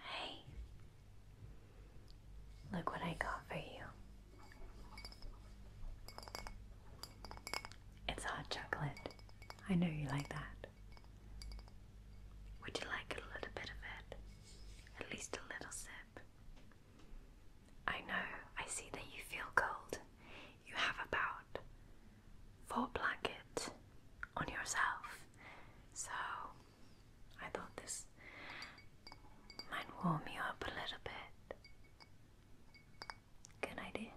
Hey, look what I got for you. It's hot chocolate. I know you like that. Would you like a little bit of it? At least a little sip. I know, I see that you feel cold you have about four blankets on yourself. So I thought this might warm you up a little bit. Good idea.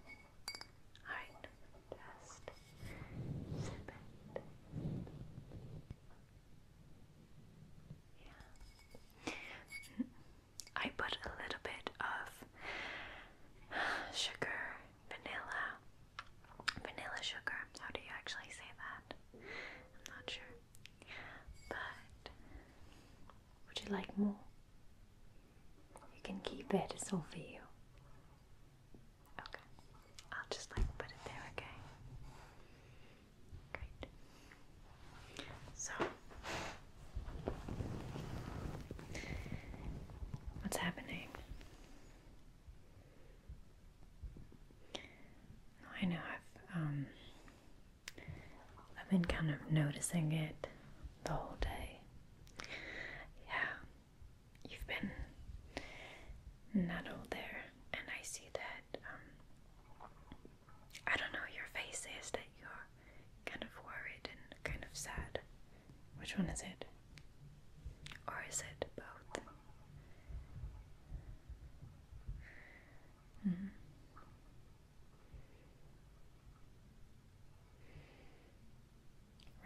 Alright, just sip it. Yeah. I put a little bit of sugar, vanilla, vanilla sugar. How do you actually say that? I'm not sure. But would you like more? You can keep it, it's all for you. Okay, I'll just like put it there, okay? Great. So, what's happening? I know I've um, I've been kind of noticing it the whole day. Yeah, you've been not all there, and I see that um, I don't know, your face is that you're kind of worried and kind of sad. Which one is it? Or is it both? Hmm.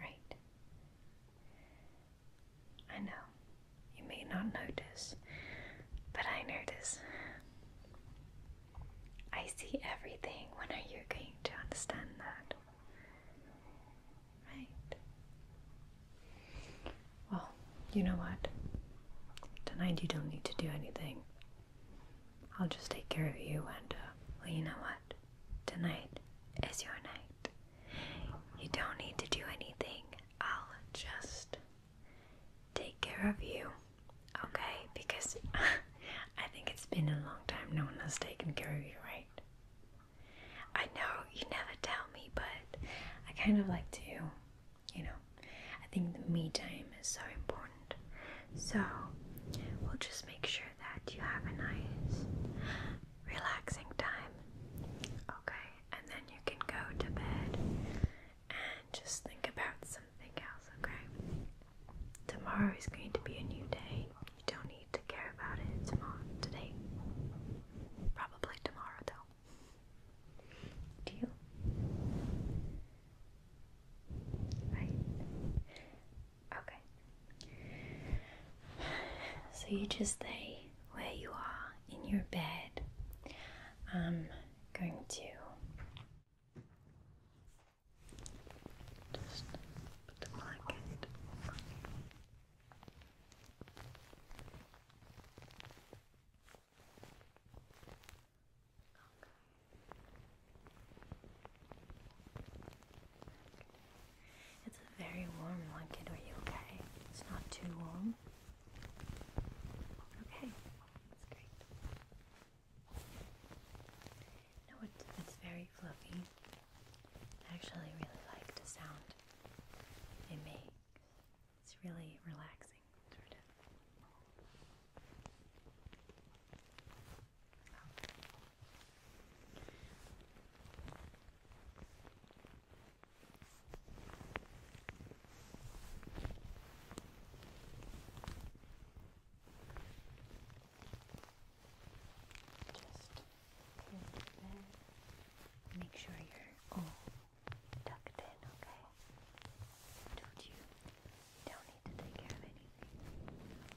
Right. I know. You may not notice, but I notice. I see everything. When are you going to understand that? Right. Well, you know what? Tonight you don't need to do anything. I'll just take care of you, and uh, well, you know what? Tonight is your night. You don't need to do anything. I'll just take care of you okay? Because I think it's been a long time no one has taken care of you, right? I know you never tell me, but I kind of like to, you know, I think the me time is so important. So we'll just make sure that you have a nice, relaxing time, okay? And then you can go to bed and just think about something else, okay? Tomorrow is going to be a new day. You don't need to care about it tomorrow, today. Probably tomorrow, though. Do you? Right. Okay. So you just stay where you are in your bed. I'm going to just put the blanket It's a very warm blanket. Are you okay? It's not too warm. Okay, that's great. No, it, it's very fluffy. I actually really like the sound it makes. It's really relaxing, sort of. Just peel it there. Make sure you're all tucked in, okay? I told you, you don't need to take care of anything.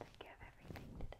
take care of everything today.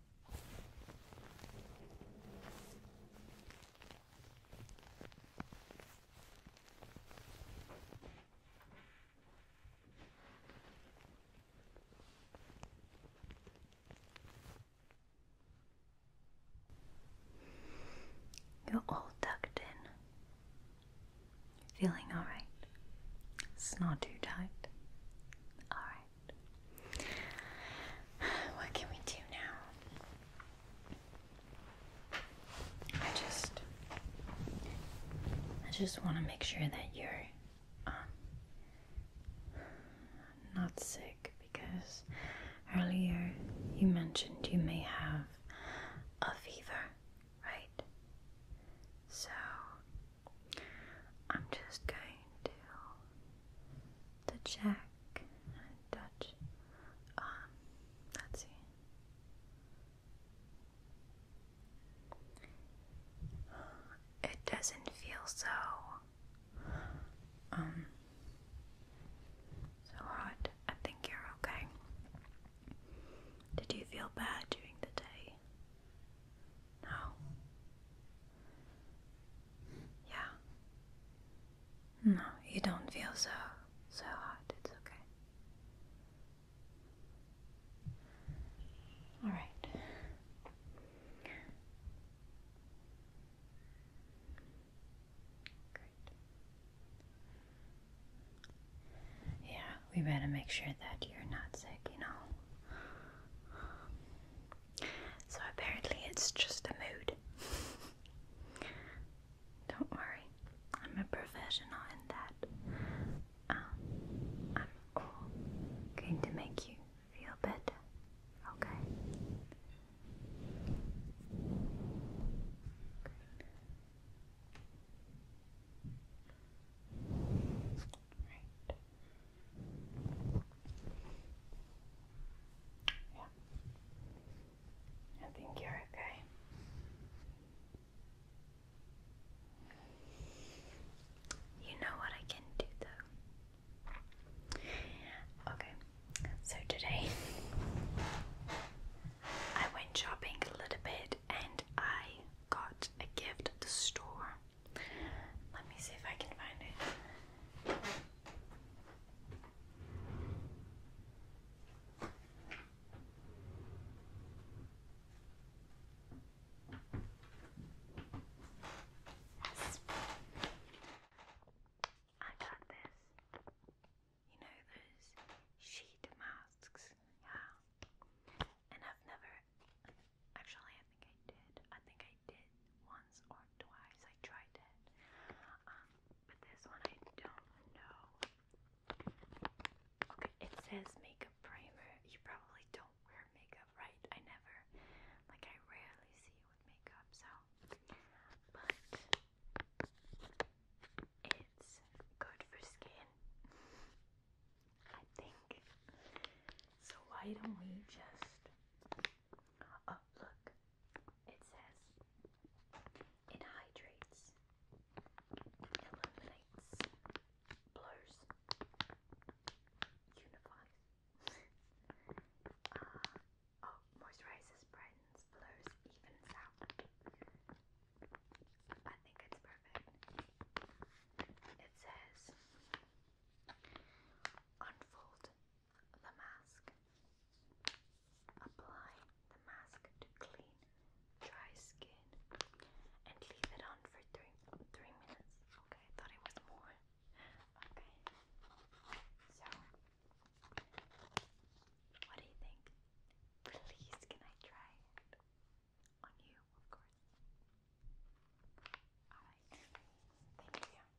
You're all tucked in. Feeling alright? It's not too tight. Alright. What can we do now? I just, I just want to make sure that you're um, not sick because earlier you mentioned you may have a fever, right? So I'm just going to to check and touch. Um, let's see. It doesn't feel so um so hot. I think you're okay. Did you feel bad during the day? No. Yeah. No, you don't feel so so hot. It's okay. All right. Great. Yeah, we better make sure that you're not sick, you know. So apparently it's just a mood. Don't worry, I'm a professional in that. Um, I'm going to make you feel better, okay? Right. Yeah. I think you're okay. You know what I can do though. Okay, so today I went shopping a little bit and I got a gift at the store. Let me see if I can find it. I got this. You know those sheet masks, yeah. And I've never Actually, I think I did. I think I did once or twice. I tried it. Um, but this one I don't know. Okay, it says makeup primer. You probably don't wear makeup, right? I never, like, I rarely see you with makeup, so. But it's good for skin, I think. So, why don't we just Oh, look. It says it hydrates, illuminates, blurs, unifies. uh, oh, moisturizes, brightens, blurs, evens out. I think it's perfect. It says Unfold the mask. Apply the mask to clean, dry skin and leave it on for three, three minutes. Okay, I thought it was more. Okay, so what do you think? Please, can I try On you, of course. Alright, thank you.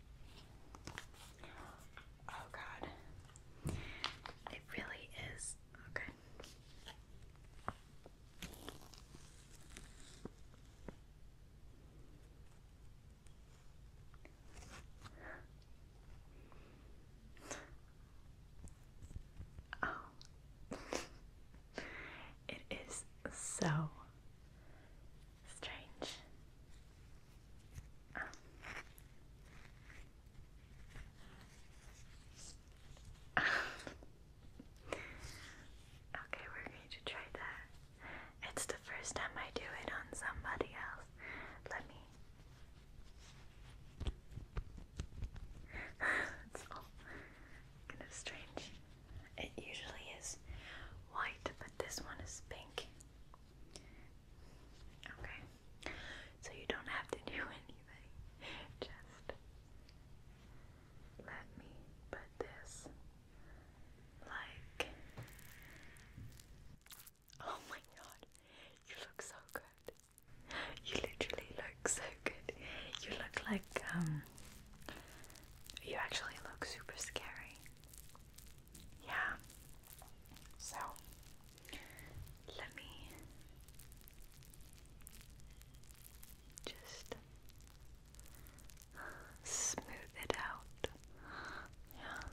Oh god. It really is. Okay. Oh. it is so strange. Um. okay, we're going to try that. It's the first time I do it on somebody else. Let me. it's all kind of strange. It usually is white, but this one is pink. Okay. So you don't have to do anything. Just let me put this like Oh my god. You look so good. You literally look so good. You look like um you actually look super scary. Yeah. So let me just smooth it out. Yeah. Okay.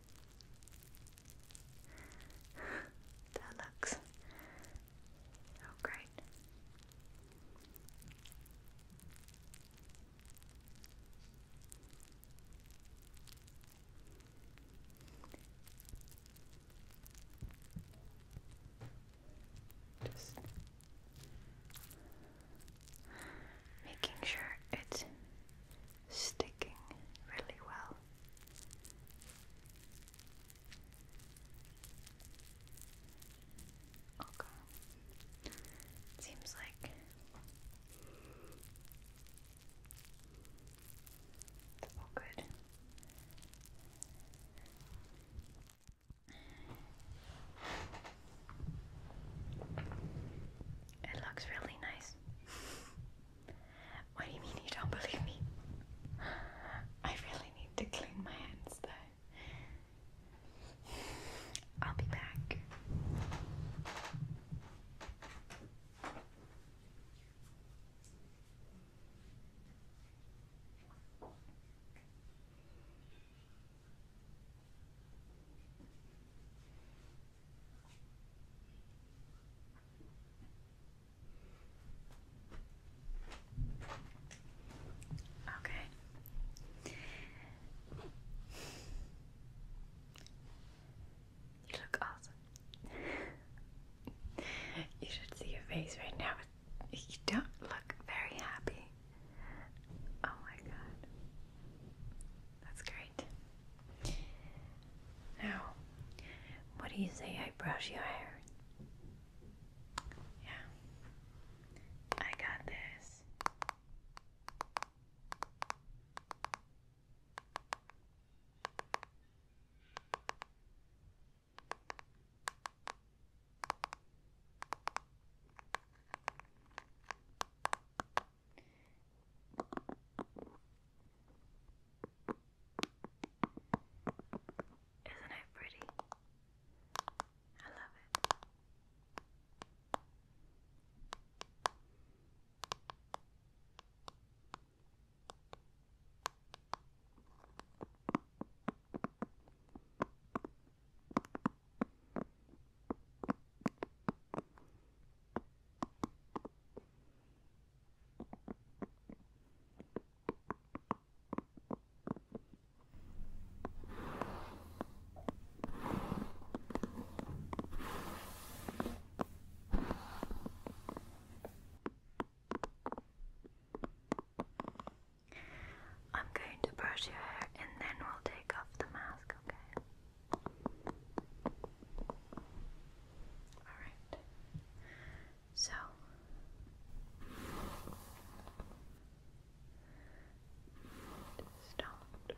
that looks so great. Just making sure it's sticking really well. Okay. seems like all good. It looks really nice. What do you mean you don't believe me? I really need to clean my hands though. I'll be back. Okay. You look awesome. you should see your face right now. You don't look very happy. Oh my god. That's great. Now, what do you say I brush your hair? Yeah, I got this. Isn't it pretty? I love it. I'm going to brush your hair and then we'll take off the mask, okay? Alright. So just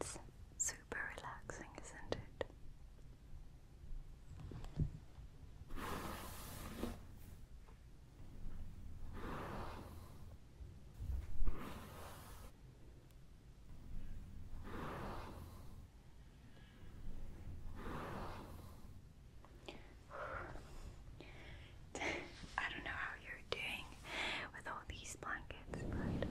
It's super relaxing, isn't it? I don't know how you're doing with all these blankets, but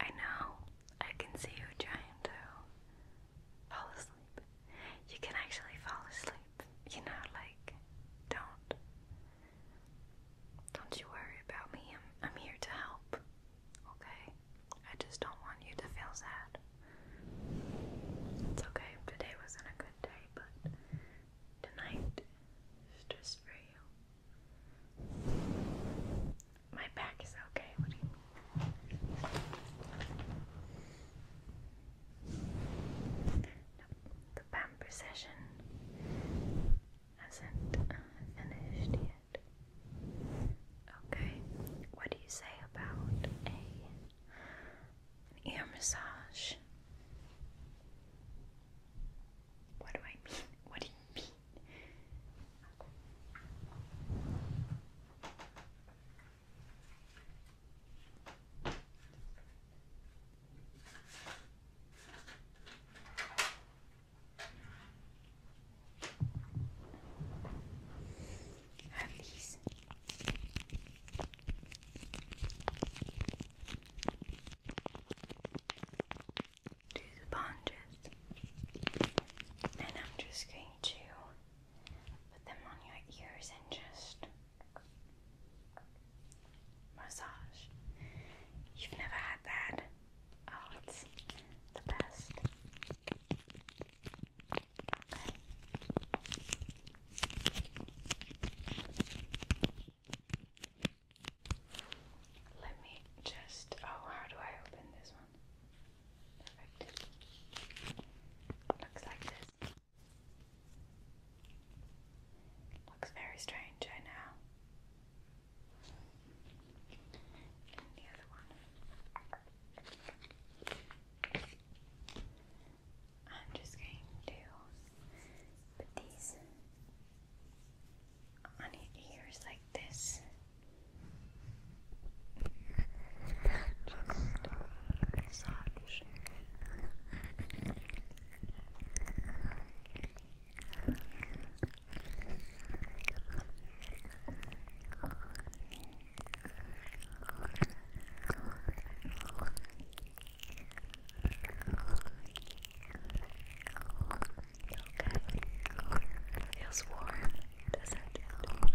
I know. I can see you trying to fall asleep. You can actually fall asleep. You know, like don't don't you worry about me. I'm I'm here to help. Okay. I just don't want you to feel sad. It's okay, today wasn't a good day, but tonight is just for you. My back is okay, what do you mean? The pamper session hasn't uh, finished yet. Okay, what do you say about a an ear massage. What do I mean? What do you mean? Do the bunches, and I'm just going to put them on your ears and just massage. You've never had that? Oh, it's the best. Let me just. Oh, how do I open this one? Perfect. Looks like this. Looks very strange, I know. And the other one. I'm just going to put these on your ears like this. It feels warm, doesn't it? Okay.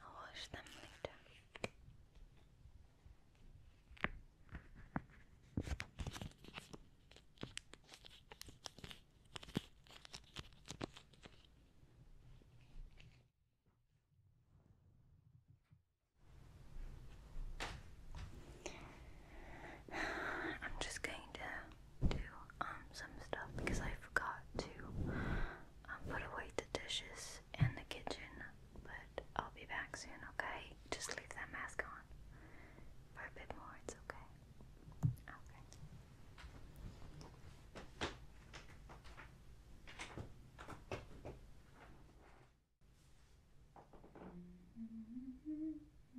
I'll wash them later. I'm just going to do um some stuff because I forgot to um, put away the dishes in the kitchen, but I'll be back soon, okay? Just leave that mask on for a bit more, it's okay. Okay.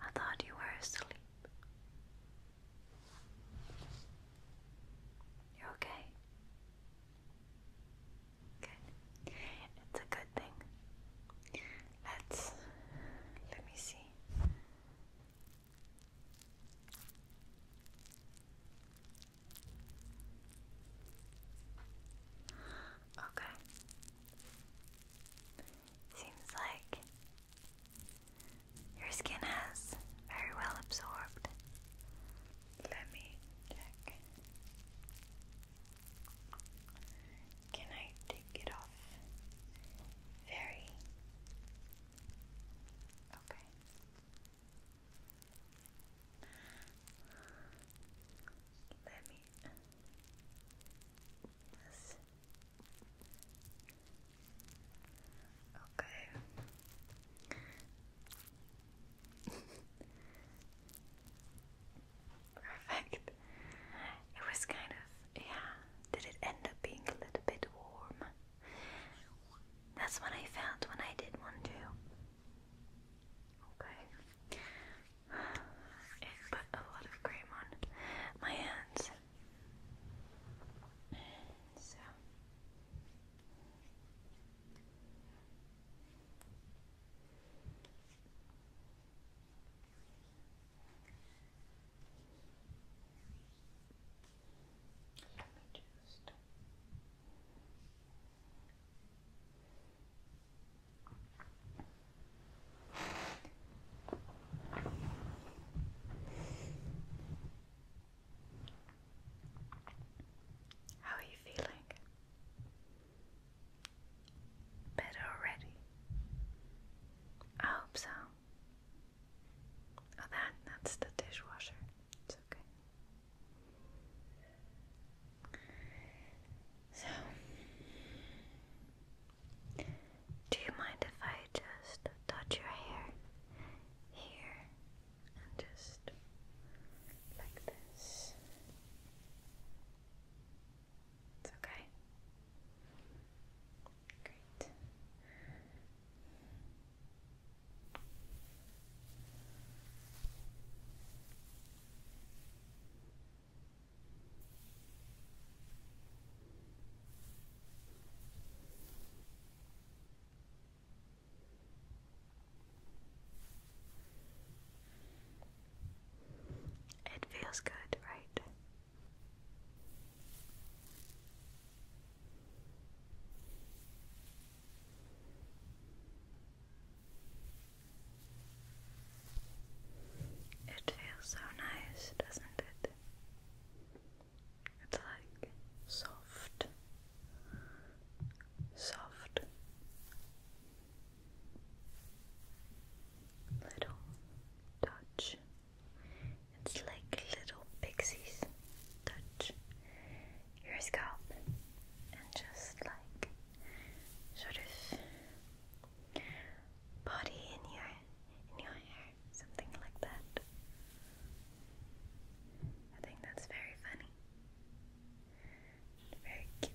I thought you were asleep. You're okay? Good. It's a good thing. Let's let me see. Okay. Seems like your skin has very well absorbed. Let me check. Can I take it off? Very. Okay. Let me Okay. Perfect. It was kind of, yeah. Did it end up being a little bit warm? That's what I felt when I did one too. Okay and put a lot of cream on my hands. So. How are you feeling? Better already? I hope so. Oh, that, that's the dishwasher. It's okay. So, do you mind if I just touch your hair here and just like this? It's okay. Great. It feels good, right? It feels so nice, doesn't it? It's like soft, soft little touch. It's like little pixies touch your scalp and just like sort of body in your in your hair, something like that. I think that's very funny. Very cute.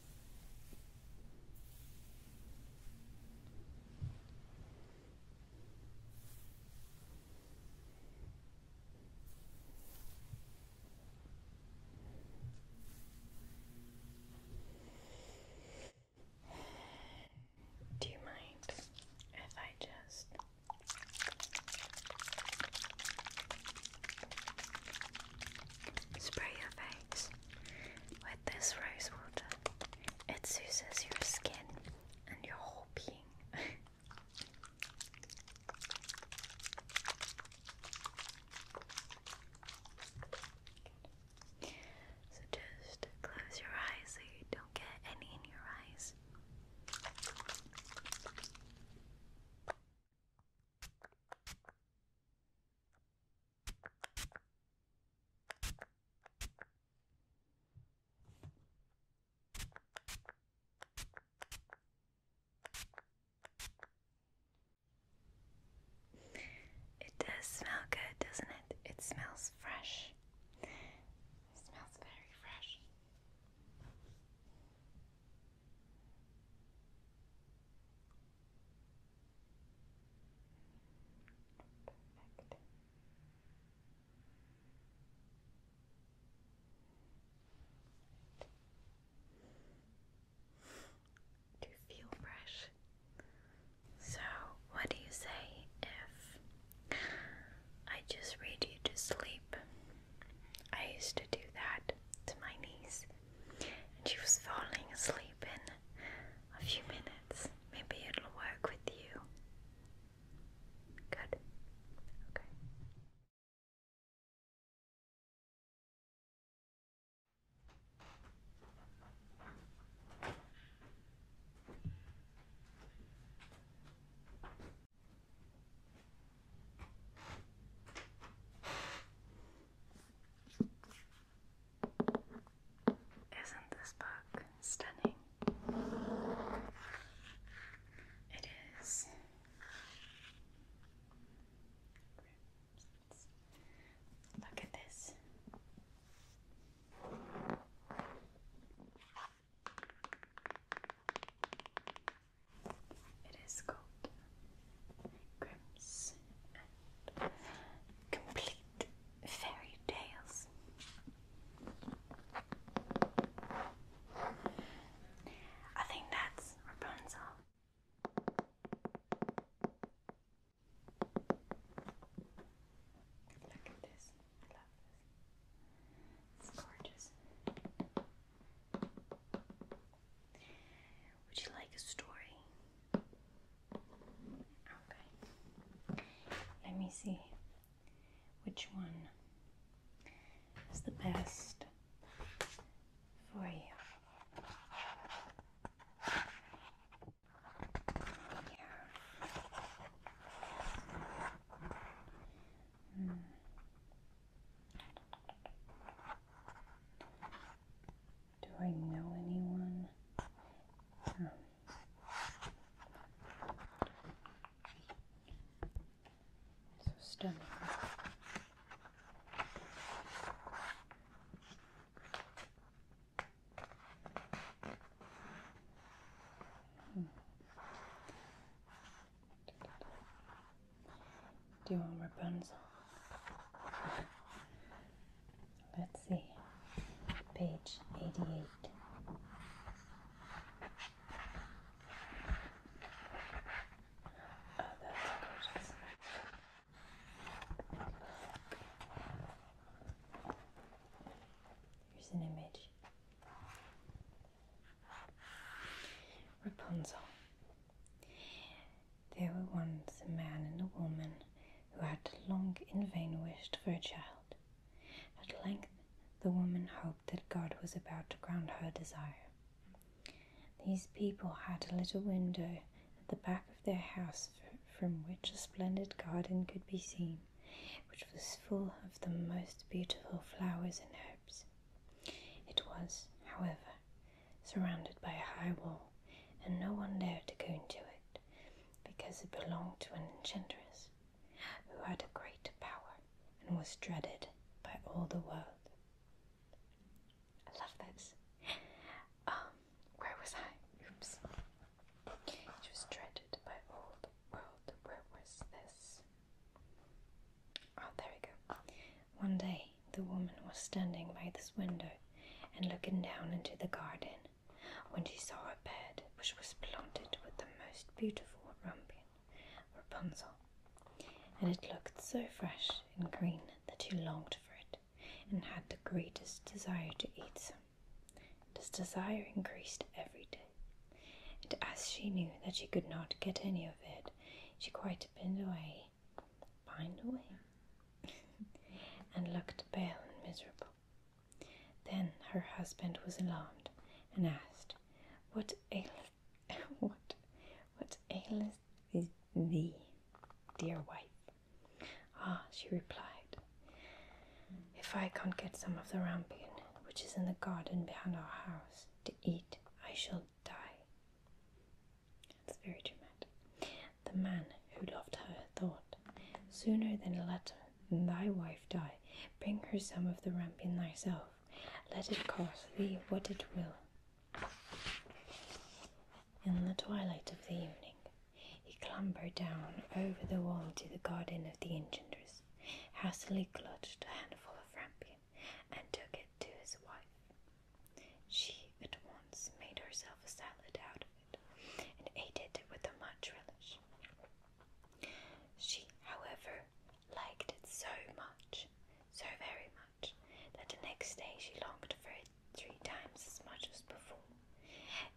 Do you mind if I just spray your face? with this rose water. It soothes your skin and your whole being. so just close your eyes so you don't get any in your eyes. It does smell good, doesn't it? It smells fresh. It smells very fresh. Perfect. Do feel fresh? So, what do you say if I just read you to sleep? I used to do that to my niece and she was falling asleep in a few minutes. Maybe it'll work with you. Good. Okay. Isn't this book stunning? It is. Look at this. It is gold. Grimm's and Complete Fairy Tales. I think that's Rapunzel. Look at this. I love this. It's gorgeous. Would you like a story? Okay. Let me see which one is the best for you. Here. Mm. Do I know anyone? Hmm. so stunning. Hmm. Do you want Rapunzel? Let's see. Page 88. Oh, that's gorgeous. Here's an image. Rapunzel. There were once a man and a woman who had long in vain wished for a child. At length, the woman hoped that God was about to grant her desire. These people had a little window at the back of their house from which a splendid garden could be seen, which was full of the most beautiful flowers and herbs. It was, however, surrounded by a high wall, and no one dared to go into it, because it belonged to an enchantress who had a great power and was dreaded by all the world. I love this. Um, where was I? Oops. It dreaded by all the world. Where was this? Oh, there we go. One day the woman was standing by this window and looking down into the garden when she saw a bed which was planted with the most beautiful rampion, Rapunzel, and it looked so fresh and green that she longed for it and had the greatest desire to eat some. This desire increased every day, and as she knew that she could not get any of it, she quite pined away, pined away and looked pale and miserable. Then her husband was alarmed and asked, What aileth what what aileth thee, dear wife? Ah, she replied, If I can't get some of the rampion which is in the garden behind our house to eat, I shall die. It's very dramatic. The man who loved her thought, Sooner than let thy wife die, bring her some of the rampion thyself, let it cost thee what it will. In the twilight of the evening, he clambered down over the wall to the garden of the enchanters, hastily clutched a handful of rampion, and took it to his wife. She at once made herself a salad out of it and ate it with a much relish. She, however, liked it so much, so very much, that the next day she longed for it three times as much as before.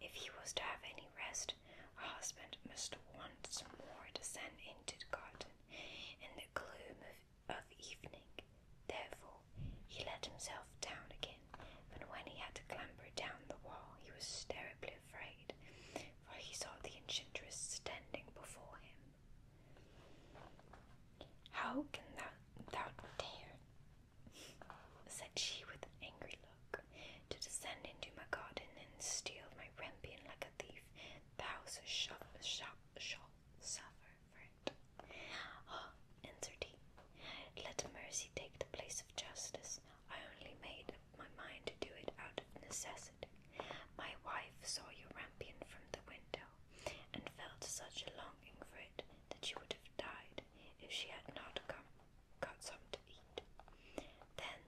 If he was to have any rest, her husband must once more descend into the garden, in the gloom of of evening. Therefore, he let himself down again, and when he had to clamber down the wall, he was terribly afraid, for he saw the enchantress standing before him. How can thou, thou dare, said she with an angry look, to descend into my garden and steal my rampion like a thief? Thou shalt, shalt, shalt suffer for it. answered he, let mercy take the place of justice. I only made up my mind to do it out of necessity. My wife saw your rampion from the window, and felt such a longing for it that she would have died if she had not come, got some to eat. Then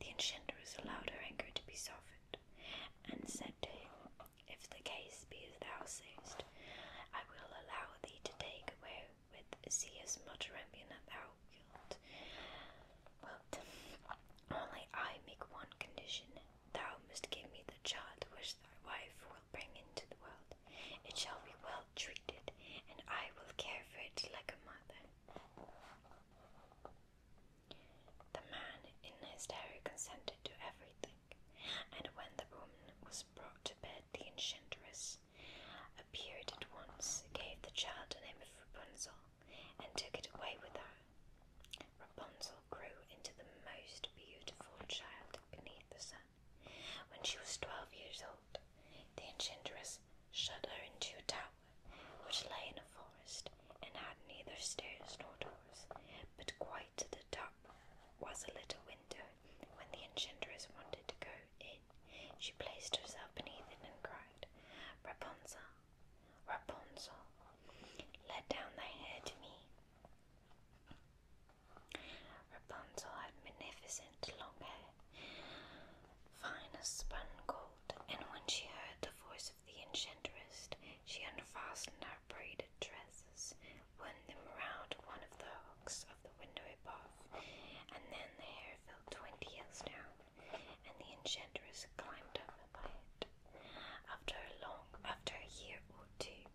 the enchantress allowed her anger to be softened, and said to him, if the case be thou sayest, I will allow thee to take away with thee as much rampion as thou wilt. Only I make one condition. Thou must give me the child which thy wife will bring into the world. It shall be well treated, and I will care for it like a mother. The man in his dairy consented to everything, and when the woman was brought to bed the enchantress, appeared at once, gave the child the name of Rapunzel, and took it away with her. Rapunzel grew into the most beautiful child beneath the sun. When she was twelve years old, the enchantress shut her into a tower which lay in a forest and had neither stairs nor doors, but quite to the top was a little window. When the enchantress wanted to go in, she placed herself beneath it and cried, Rapunzel, Rapunzel, let down thy hair to me. Rapunzel had magnificent long hair, fine spun gold, and when she heard the voice of the enchantress, she unfastened her her braided tresses, wound them round one of the hooks of the window above, and then the hair fell twenty yards down, and the enchantress climbed up by it. After a long, after a year or two,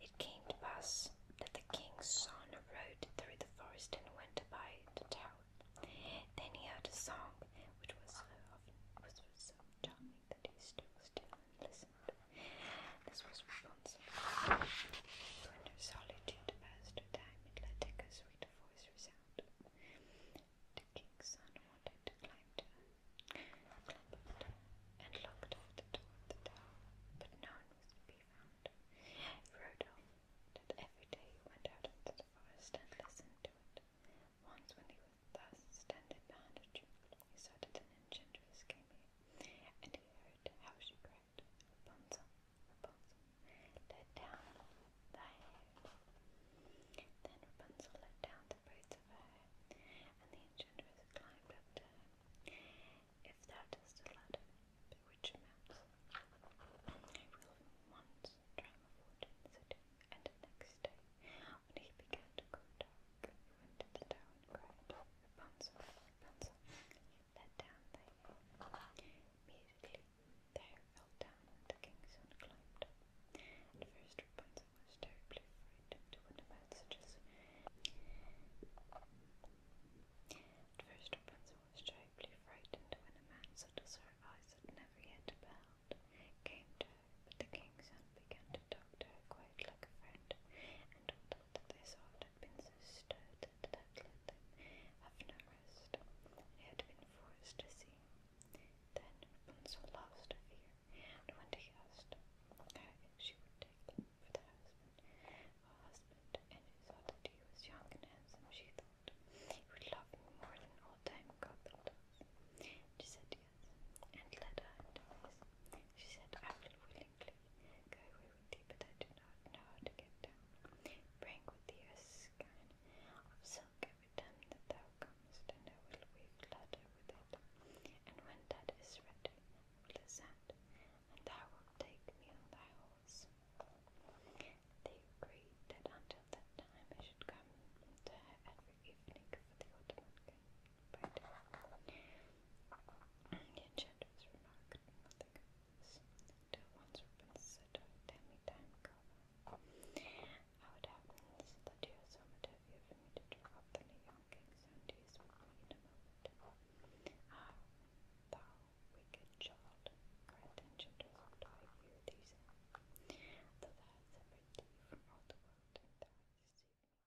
it came to pass that the king's son rode through the forest and went by the town. Then he heard a song which was so often, was so charming that he stood still and listened. This was responsible to enter solitude as to it let a voice resound. The king's son wanted to climb to clambered and looked the door of the tower, but no one was to be found. He rode on every day he went out into the forest and listened to it. Once when he was thus standing behind a tree, he saw that an enchantress came and he heard how she cried, Rapunzel, Rapunzel, let down thy hair. Then Rapunzel let down the braids of her hair, and the enchantress climbed up to her. If thou dost the ladder, mounts, I will once try my fortune, said and the next day, when he began to grow dark, to the town, cried Rapunzel, Rapunzel, let down thy head. Immediately the hair down the king's son climbed up. At first Rapunzel was terribly frightened when about man such as her eyes had never yet beheld came to her, the king's and began to talk to her quite like a friend, and although that they saw it had been so stirred that it them have rest, they had been forced to see. Then Rapunzel lost her fear, when he asked her if she would take them for their husband, husband, and it saw that he was young and handsome, she thought, he would love me more than all time goblins. She said yes and led her She said, I will willingly go with thee, but I do not know how to get down. Bring with thee a skein of silk every time that thou comest, and I will weave ladder with it. And when that is ready, I will ascend, and thou wilt take me on thy horse. They agreed that until that time I should come to her every evening for the autumn king. But the enchantress remarked nothing once Ruben said to her, Tell me time, how it happens that you are so much heavier for me to draw up than a young king's son in a moment. thou wicked child, cried the enchantress, do I hear these? Though thou hast from all the world, and thou hast me.